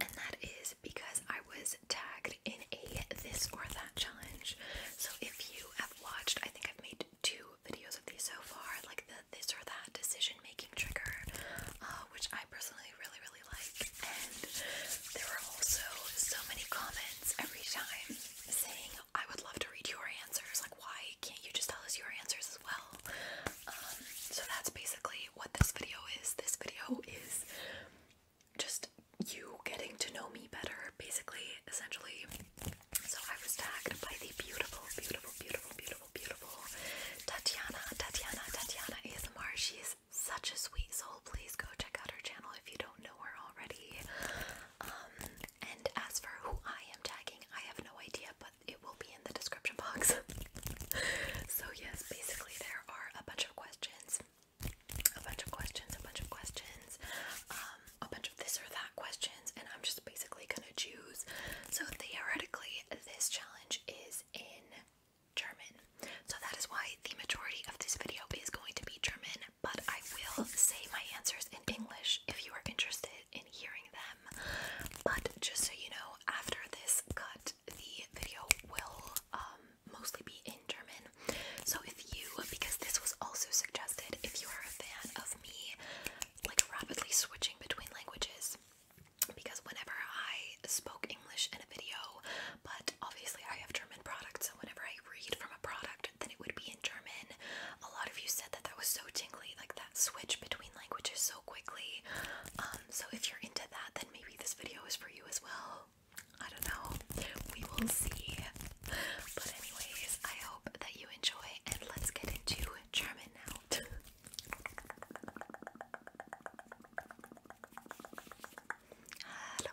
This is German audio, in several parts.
And that is because I was tagged in a this or that challenge. So if you have watched, I think I've made two videos of these so far, like the this or that decision making trigger, uh, which I personally really, really like. And there were also so many comments every time saying, I would love to read your answers. Like, why can't you just tell us your answers as well? Um, so that's basically what this video is. This video is just you getting to know me better, basically, essentially. So I was tagged by the beautiful, beautiful, beautiful, beautiful, beautiful Tatiana, Tatiana, Tatiana ASMR. She is such a sweet soul. Please go check out her channel if you don't know her already. Um, and as for who I am tagging, I have no idea, but it will be in the description box. so yes, basically there are a bunch of questions a bunch of questions, a bunch of questions, um, a bunch of this or that questions, and I'm just basically gonna choose. So theoretically, this challenge is in German. So that is why the majority of this video is going to be German, but I will say my answers in English if you are interested in hearing them. But just so you know, after this cut, the video will um, mostly be in German. So if you, because this was also suggested, if you are a fan of me like rapidly switching between languages, because whenever I spoke English in a video, but obviously I have German products, so whenever I read from a product, then it would be in German. A lot of you said that that was so tingly, like that switch between languages so quickly. Um, so if you're into that, then maybe this video is for you as well. I don't know. We will see. But anyways, I hope that you enjoy and let's get into German now. hello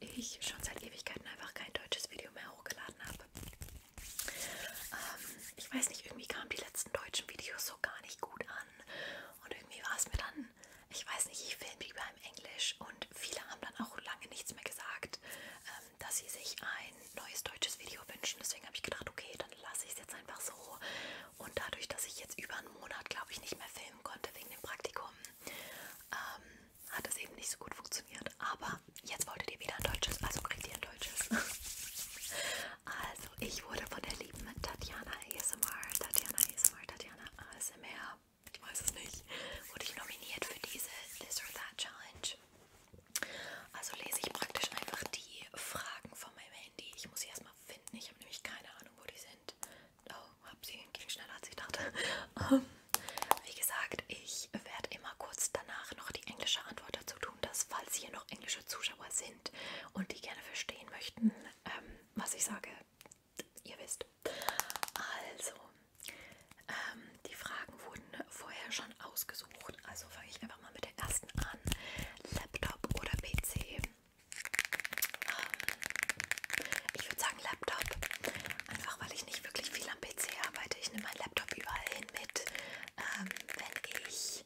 dass ich schon seit Ewigkeiten einfach kein deutsches Video mehr hochgeladen habe. Ähm, ich weiß nicht, irgendwie kamen die letzten deutschen Videos so gar nicht gut an. Und irgendwie war es mir dann, ich weiß nicht, ich filme lieber im Englisch und viele haben dann auch lange nichts mehr gesagt, ähm, dass sie sich ein neues deutsches Video wünschen. Deswegen habe ich gedacht, okay, dann lasse ich es jetzt einfach so. Und dadurch, dass ich jetzt über einen Monat, glaube ich, nicht mehr filmen konnte wegen dem Praktikum, ähm, hat es eben nicht so gut funktioniert. Aber jetzt wolltet ihr wieder ein deutsches, also kriegt ihr ein deutsches. also, ich wurde von der lieben Tatjana ASMR, Tatjana ASMR, Tatjana ASMR, ich weiß es nicht, wurde ich nominiert für diese This or That Challenge. Also lese ich praktisch einfach die Fragen von meinem Handy. Ich muss sie erstmal finden. Ich habe nämlich keine Ahnung, wo die sind. Oh, hab sie, ging schneller als ich dachte. Um, ähm, wie gesagt, ich werde immer kurz danach noch die englische Antwort dazu tun, dass falls hier noch englische Zuschauer sind und die gerne verstehen möchten, ähm, was ich sage, ihr wisst. Also, ähm, die Fragen wurden vorher schon ausgesucht. Also fange ich einfach mal mit der ersten an. Laptop oder PC? Ähm, ich würde sagen Laptop, einfach weil ich nicht wirklich viel am PC arbeite. Ich nehme meinen Laptop überall hin mit, ähm, wenn ich,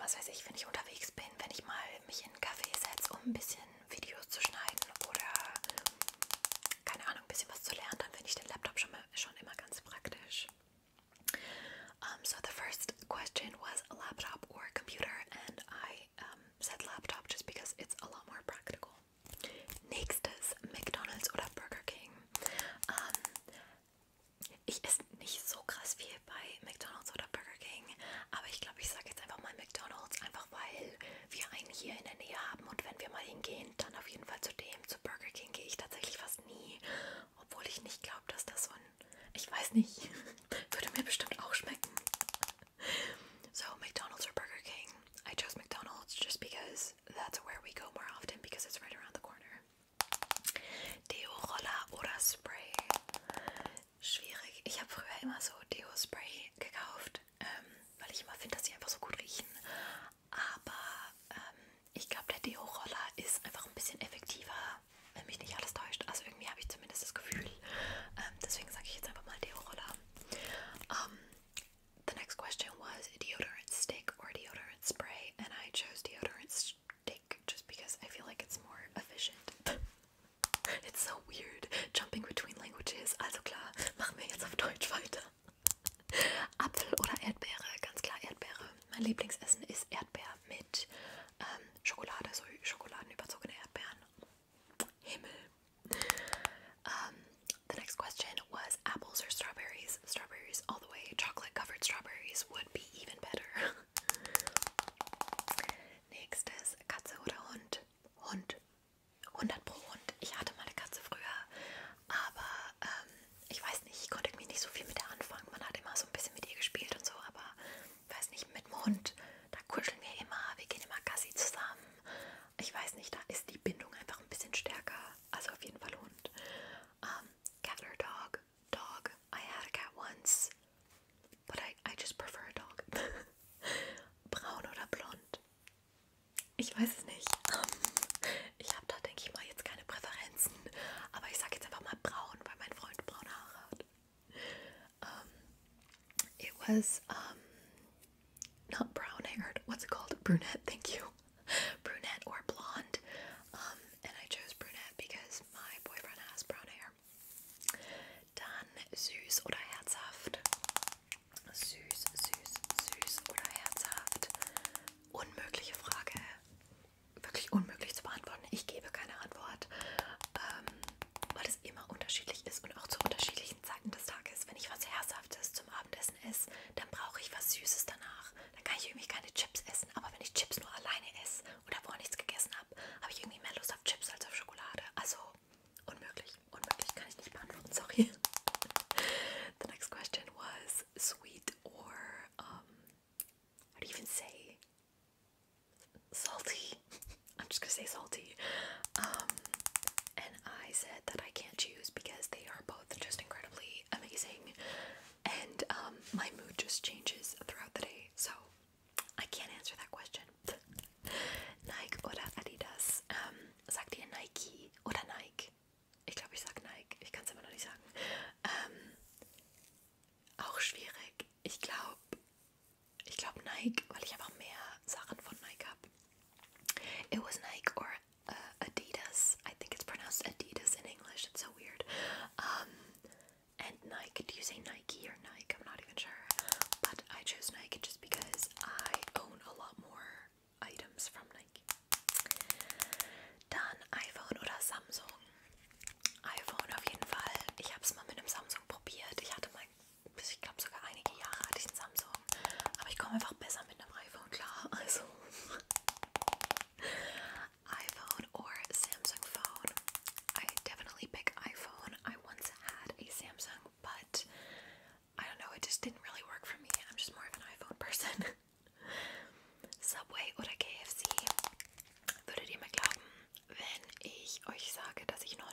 was weiß ich, wenn ich unterwegs bin, wenn ich mal mich in einen Café setze, um ein bisschen Videos zu schneiden oder, keine Ahnung, ein bisschen was zu lernen, dann finde ich den Laptop schon, mal, schon immer ganz praktisch. Um, so the first question was laptop or computer and I um, said laptop just because it's a lot more practical. Nächstes McDonald's oder Burger King. Um, ich esse nicht so krass viel bei McDonald's oder Burger King, aber ich glaube, ich sage jetzt einfach mal McDonald's, einfach weil wir einen hier in der Nähe haben und wenn wir mal hingehen, dann auf jeden Fall zu dem. Zu Burger King gehe ich tatsächlich fast nie, obwohl ich nicht glaube, dass das so ein, ich weiß nicht, würde mir bestimmt auch schmecken. So, McDonald's or Burger King? I chose McDonald's just because that's where we go more often because it's right around the corner. Deo-Roller oder Spray? Schwierig. Ich habe früher immer so Deo-Spray gekauft, ähm, weil ich immer finde, dass sie einfach so gut riechen. Aber ähm, ich glaube, der Deo-Roller ist einfach ein bisschen effektiver, wenn mich nicht alles täuscht. Also irgendwie habe ich zumindest das Gefühl. Ähm, deswegen sage ich jetzt einfach mal Deo-Roller. Um, the next question was deodorant stick or deodorant spray, and I chose deodorant stick just because I feel like it's more efficient. it's so weird jumping between languages. Also klar, machen wir jetzt auf Deutsch weiter. Apfel oder Erdbeere, ganz klar Erdbeere. Mein Lieblingsessen ist Erdbeer mit ähm, Schokolade, so Schokoladen Schokoladenüberzogene Erdbeeren. Himmel. Um, the next question was apples or strawberries? Strawberries all the way. Chocolate covered strawberries would be even better. Nächstes, Katze oder Hund? Hund. 100 pro Hund. Ich hatte mal eine Katze früher, aber ähm, ich weiß nicht, ich konnte irgendwie nicht so viel mit der anfangen. Man hat immer so ein bisschen mit ihr gespielt und so, aber weiß nicht, mit dem Hund da kuscheln wir immer, wir gehen immer Gassi zusammen. Ich weiß nicht, da ist die Bindung einfach ein bisschen stärker. Also auf jeden Fall Hund. Um, ähm, cat or dog? Dog. I had a cat once, but I, I just prefer a dog. Braun oder blond? Ich weiß es nicht. Um, ähm, ich habe da, denke ich mal, jetzt keine Präferenzen. Aber ich sage jetzt einfach mal braun, weil mein Freund braune Haare hat. Um, ähm, it was um, not brown haired what's it called brunette thank you brunette or blonde um, and I chose brunette because my boyfriend has brown hair dann süß oder herzhaft süß süß süß oder herzhaft unmögliche Frage wirklich unmöglich zu beantworten ich gebe keine Antwort ähm, weil es immer unterschiedlich ist und auch zu unterschiedlichen Zeiten des Tages. Wenn ich was Herzhaftes zum Abendessen esse, dann brauche ich was Süßes danach. Dann kann ich irgendwie keine Chips essen, aber wenn ich Chips nur alleine esse oder vorher nichts gegessen habe, habe ich irgendwie mehr Lust auf Chips als auf Schokolade. Also unmöglich, unmöglich kann ich nicht beantworten, sorry. The next question was sweet or um, how do you even say salty? I'm just gonna say salty. Um, and I said that I can't choose because they are both just incredibly amazing, and um, my mood just changes throughout the day, so I can't answer that question. Nike oder Adidas? Um, sagt ihr Nike oder Nike? Ich glaube, ich sag Nike. Ich kann immer noch nicht sagen. auch schwierig. Ich glaube, ich glaube Nike, weil ich einfach mehr Sachen von Nike It was Nike or uh, Adidas. I think it's pronounced Adidas in English. It's so weird. Um, and Nike. Do you say Nike or Nike? I'm not even sure. But I chose Nike just because I own a lot more items from Nike. Dann iPhone oder Samsung. iPhone auf jeden Fall. Ich habe es mal mit einem Samsung probiert. Ich hatte ich glaube sogar einige Jahre hatte Samsung. Aber ich komme einfach besser mit einem iPhone klar. iPhone or Samsung phone. I definitely pick iPhone. I once had a Samsung, but I don't know, it just didn't really work for me. I'm just more of an iPhone person. Subway oder KFC? Würdet ihr mir glauben, wenn ich euch sage, dass ich 9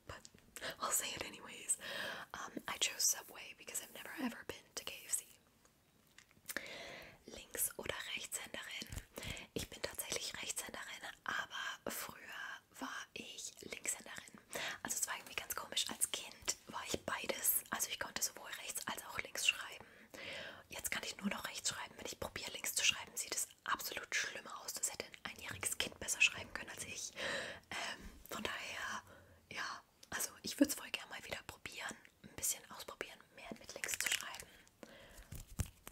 but I'll say it anyways. Um, I chose Subway because I've never ever been to KFC. Links- oder Rechtshänderin? Ich bin tatsächlich Rechtshänderin, aber früher war ich Linkshänderin. Also es war irgendwie ganz komisch. Als Kind war ich beides. Also ich konnte sowohl rechts als auch links schreiben. Jetzt kann ich nur noch rechts schreiben. Wenn ich probiere links zu schreiben, sieht es absolut schlimm aus. Das hätte einjähriges Kind besser schreiben können als ich. Ähm, von daher, ja, also ich würde es voll gerne mal wieder probieren, ein bisschen ausprobieren, mehr mit links zu schreiben.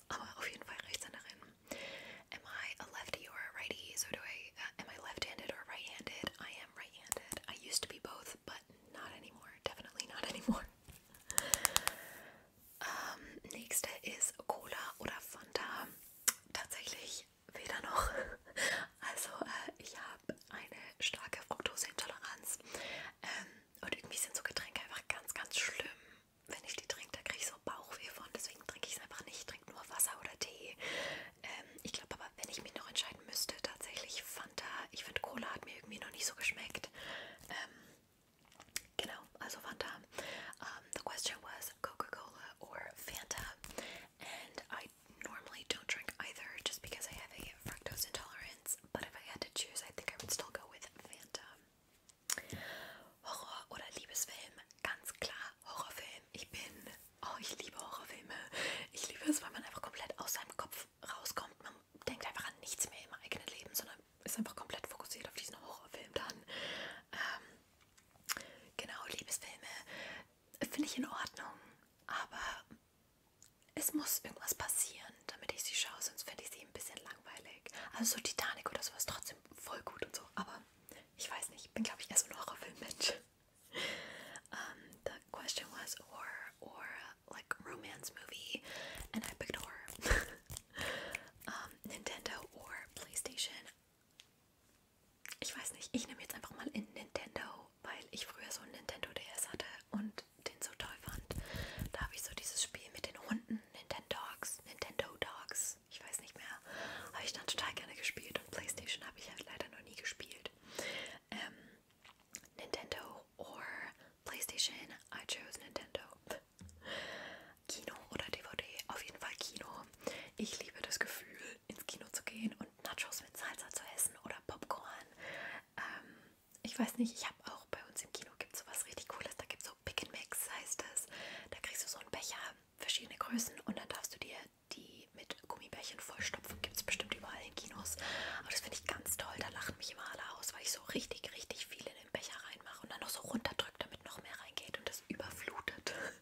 Aber auf jeden Fall Rechtshänderin. Am I a lefty or a righty? So do I, uh, am I left-handed or right-handed? I am right-handed. I used to be both, but not anymore. Definitely not anymore. Ähm, nächste ist Cola oder Fanta. Tatsächlich weder noch. Also äh, ich habe eine starke Fructoseintoleranz ähm, und irgendwie sind so Getränke einfach ganz, ganz schlimm. Wenn ich die trinke, da kriege ich so Bauchweh von, deswegen trinke ich es einfach nicht. Ich trinke nur Wasser oder Tee. Ähm, ich glaube aber, wenn ich mich noch entscheiden müsste, tatsächlich Fanta. Ich finde, Cola hat mir irgendwie noch nicht so geschmeckt. Ähm, Genau, also Fanta. Um, ähm, the question was Coca-Cola or Fanta. and I normally don't drink either just because I have a fructose intolerance, but if I had to choose, I think I would still go with Phantom. Horror oder Liebesfilm? Ganz klar, Horrorfilm. Ich bin, oh, ich liebe Horrorfilme. Ich liebe es, weil man einfach komplett aus seinem Kopf rauskommt. Man denkt einfach an nichts mehr im eigenen Leben, sondern ist einfach komplett fokussiert auf diesen Horrorfilm dann. Ähm, genau, Liebesfilme. finde ich in Ordnung, aber es muss irgendwas passieren, damit ich sie schaue, sonst finde ich sie ein bisschen langweilig. Also so Titanic oder sowas trotzdem voll gut und so, aber ich weiß nicht, ich bin glaube ich eher so ein Horrorfilm-Mensch. um, the question was horror or like romance movie and I picked horror. um, Nintendo or PlayStation ich weiß nicht, ich nehme jetzt einfach mal in Nintendo, weil ich früher so einen Nintendo DS hatte und den so toll fand. Da habe ich so dieses Spiel mit den Hunden, Nintendo Dogs, Nintendo Dogs, ich weiß nicht mehr, habe ich dann total gerne gespielt und Playstation habe ich halt leider noch nie gespielt. Ähm, Nintendo or Playstation, I chose Nintendo. Kino oder DVD, auf jeden Fall Kino. Ich liebe das Gefühl, ins Kino zu gehen und Nachos mit Salsa zu essen oder Popcorn. Ähm, ich weiß nicht, ich habe auch bei uns im Kino gibt es was richtig Cooles. Da gibt es so Pick and Mix, heißt es. Da kriegst du so einen Becher, verschiedene Größen und dann darfst du dir die mit Gummibärchen vollstopfen. Gibt es bestimmt überall in Kinos. Aber das finde ich ganz toll. Da lachen mich immer alle aus, weil ich so richtig, richtig viel in den Becher reinmache und dann noch so runterdrücke, damit noch mehr reingeht und das überflutet.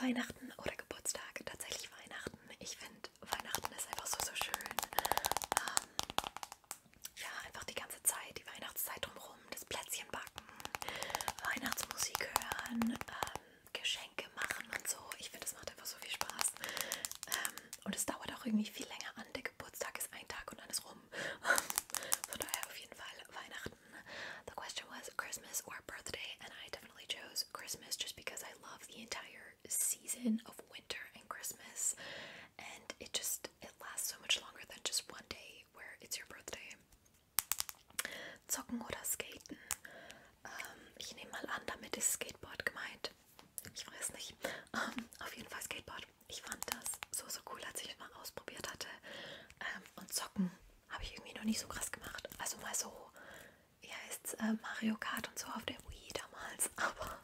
Weihnachten oder Geburtstag, tatsächlich Weihnachten. Ich finde, Weihnachten ist einfach so, so schön. Ähm, ja, einfach die ganze Zeit, die Weihnachtszeit drumherum, das Plätzchen backen, Weihnachtsmusik hören, ähm, Geschenke machen und so. Ich finde, das macht einfach so viel Spaß. Ähm, und es dauert auch irgendwie viel länger an. Der Geburtstag ist ein Tag und dann ist rum. Von daher auf jeden Fall Weihnachten The question was Christmas or birthday, and I definitely chose Christmas just because I love the entire season of winter and Christmas, and it just it lasts so much longer than just one day where it's your birthday. Zocken oder skaten? Ähm, ich nehme mal an, damit ist Skateboard gemeint. Ich weiß nicht. Ähm, auf jeden Fall Skateboard. Ich fand das so so cool, als ich es mal ausprobiert hatte. Ähm, und zocken Habe ich irgendwie noch nicht so krass gemacht. Also mal so, wie heißt äh, Mario Kart und so auf der Wii damals, aber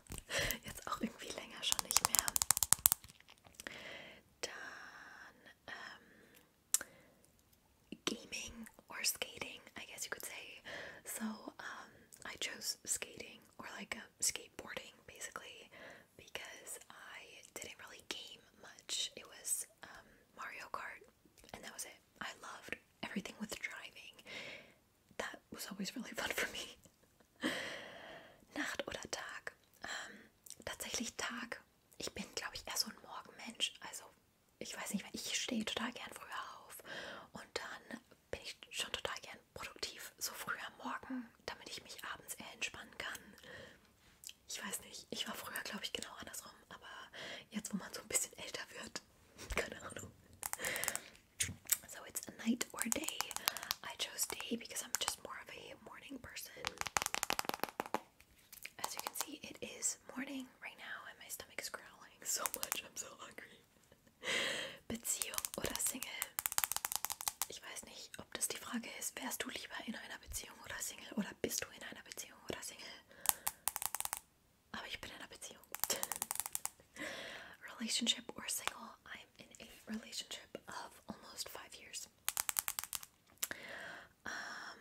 jetzt auch irgendwie länger schon nicht mehr. Dann um, ähm, gaming or skating, I guess you could say. So um, I chose skating or like a uh, skateboarding basically because I didn't really game much. It was um, Mario Kart, and that was it. I loved everything with driving. That was always really fun for me. Nacht oder Tag? Ähm, tatsächlich Tag. Ich bin, glaube ich, eher so ein Morgenmensch. Also, ich weiß nicht, ich stehe total gern früher auf und dann bin ich schon total gern produktiv, so früh am Morgen, damit ich mich abends eher entspannen kann ich weiß nicht, ich war früher, glaube ich, genau andersrum, aber jetzt, wo man so ein bisschen älter wird, keine Ahnung. So it's a night or day. I chose day because I'm just more of a morning person. As you can see, it is morning right now and my stomach is growling so much. I'm so hungry. Beziehung oder Single? Ich weiß nicht, ob das die Frage ist, wärst du lieber in einer einer Beziehung Single oder bist du in einer Beziehung oder Single? Aber ich bin in einer Beziehung. relationship or single, I'm in a relationship of almost five years. Um,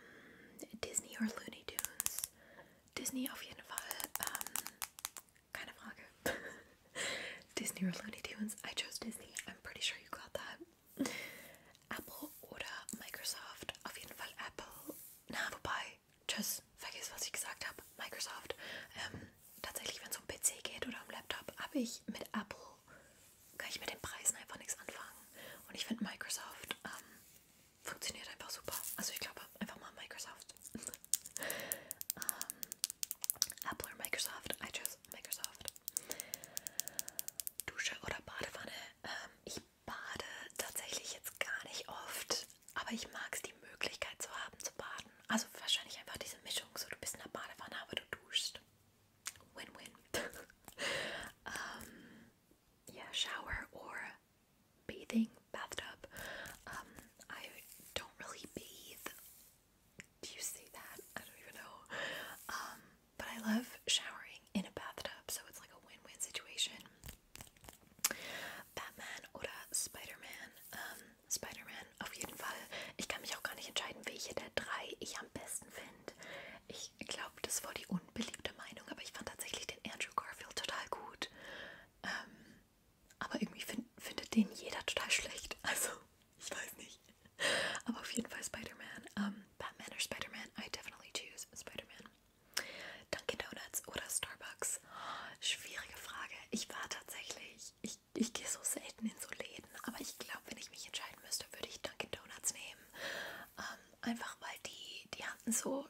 Disney or Looney Tunes? Disney auf jeden Fall. Um, keine Frage. Disney or Looney Tunes? I chose Disney. I'm pretty sure you got that. Apple oder Microsoft, auf jeden Fall Apple. Na, wobei, tschüss, vergiss, was ich gesagt habe. Microsoft. Ähm, tatsächlich, wenn es um PC geht oder um Laptop, habe ich mit Apple, kann ich mit den Preisen einfach nichts anfangen. Und ich finde Microsoft ähm, funktioniert einfach super. Also ich glaube, einfach mal Microsoft. um, ähm, Apple oder Microsoft, I choose Microsoft. Dusche oder Badewanne. Ähm, ich bade tatsächlich jetzt gar nicht oft, aber ich mag es, die Möglichkeit zu haben zu baden. Also wahrscheinlich einfach diese Mischung, so du bist in der Badewanne, aber du duschst. Win-win. ähm, yeah, shower or bathing, bathtub. Um, I don't really bathe. Do you say that? I don't even know. Um, But I love showering in a bathtub, so it's like a win win situation. Batman oder Spider-Man? Ähm, Spider-Man auf jeden Fall. Ich kann mich auch gar nicht entscheiden, welche der drei ich am besten finde. Ich glaube, das war die unbeliebte Meinung, aber ich fand tatsächlich den Andrew Garfield total gut. Ähm, aber irgendwie find, findet den jeder total schlecht. Also, ich weiß nicht. Aber auf jeden Fall Spider-Man. Um, Batman oder Spider-Man? I definitely choose Spider-Man. Dunkin' Donuts oder Starbucks? Oh, schwierige Frage. Ich war tatsächlich, ich, ich gehe so selten in so Läden, aber ich glaube, wenn ich mich entscheiden müsste, würde ich Dunkin' Donuts nehmen. Um, ähm, einfach weil die, die hatten so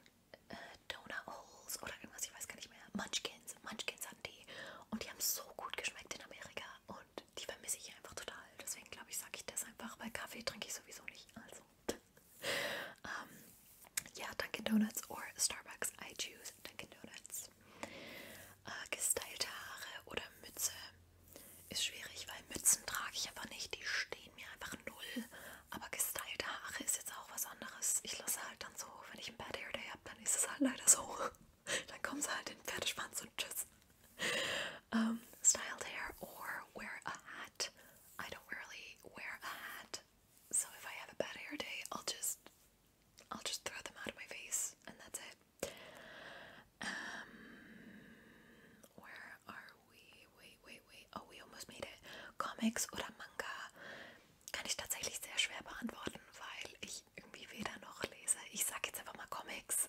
äh, Donut Holes oder irgendwas, ich weiß gar nicht mehr. Munchkins, Munchkins hatten die. Und die haben so gut geschmeckt in Amerika. Und und die vermisse ich einfach total. Deswegen glaube ich, sage ich das einfach, weil Kaffee trinke ich sowieso nicht. Also. um, ähm, ja, Dunkin' Donuts or Starbucks. I choose Dunkin' Donuts. Äh, gestylte Haare oder Mütze ist schwierig, weil Mützen trage ich einfach nicht. Die stehen mir einfach null. Aber gestylte Haare ist jetzt auch was anderes. Ich lasse halt dann so, wenn ich einen Bad Hair Day habe, dann ist es halt leider so. Dann kommen sie halt in den Pferdespanz und tschüss. Um, styled hair or wear a hat. I don't really wear a hat, so if I have a bad hair day, I'll just I'll just throw them out of my face and that's it. Um, where are we? Wait, wait, wait. Oh, we almost made Comics oder Manga kann ich tatsächlich sehr schwer beantworten, weil ich irgendwie weder noch lese. Ich sag Comics.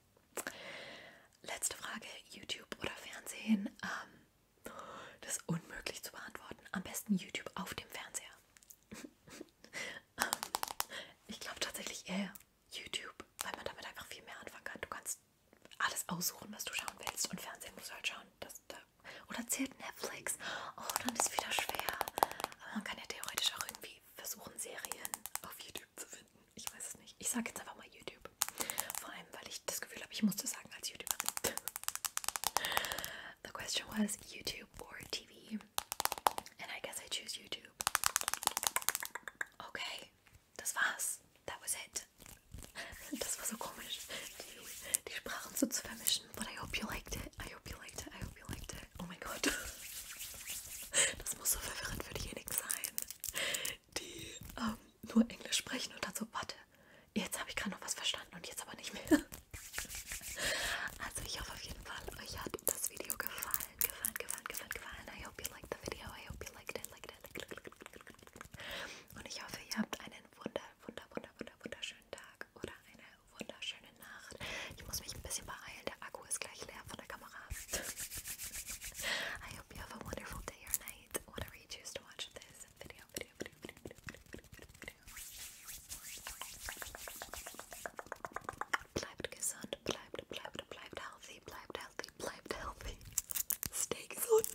Letzte Frage, YouTube oder Fernsehen? Ähm, das ist unmöglich zu beantworten. Am besten YouTube auf dem Fernseher. ähm, ich glaube tatsächlich eher YouTube, weil man damit einfach viel mehr anfangen kann. Du kannst alles aussuchen, was du schauen willst. Und Fernsehen musst du halt schauen. Das, da, oder zählt Netflix? Oh, dann ist wieder schwer. Aber man kann ja theoretisch auch irgendwie versuchen, Serien auf YouTube YouTube zu finden. Ich weiß es nicht. Ich sage jetzt einfach mal YouTube. Vor allem, weil ich das Gefühl habe, ich musste sagen als YouTuberin. The question was YouTube or TV. And I guess I choose YouTube. Okay, das war's. That was it. Das war so komisch, die, die Sprachen so zu vermischen. But I hope you liked it. I hope you liked it. I hope you liked it. Oh mein Gott. Das muss so verwirrend für diejenigen sein, die um, ähm, nur Englisch sprechen und dann so, warte, jetzt habe ich gerade noch was verstanden und jetzt aber nicht mehr. Also ich hoffe auf jeden Fall, euch hat das Video gefallen, gefallen, gefallen, gefallen, gefallen. I hope you liked the video, I hope you liked it, liked it, liked it, liked it. Und ich hoffe, ihr habt einen wunder, wunder, wunder, wunder, wunderschönen Tag oder eine wunderschöne Nacht. Ich muss mich ein bisschen beeilen, der Akku ist gleich leer von der Kamera. I hope you have a wonderful day or night. whatever you choose to watch this video, video, video, video, video, video, video, video. Bleibt gesund, bleibt, bleibt, bleibt healthy, bleibt healthy, bleibt healthy. Stay gesund.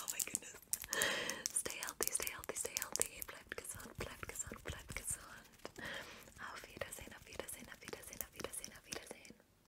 Oh my goodness. Stay healthy, stay healthy, stay healthy. Bleibt gesund, bleibt gesund, bleibt gesund. Auf Wiedersehen, auf Wiedersehen, auf Wiedersehen, auf Wiedersehen, auf Wiedersehen.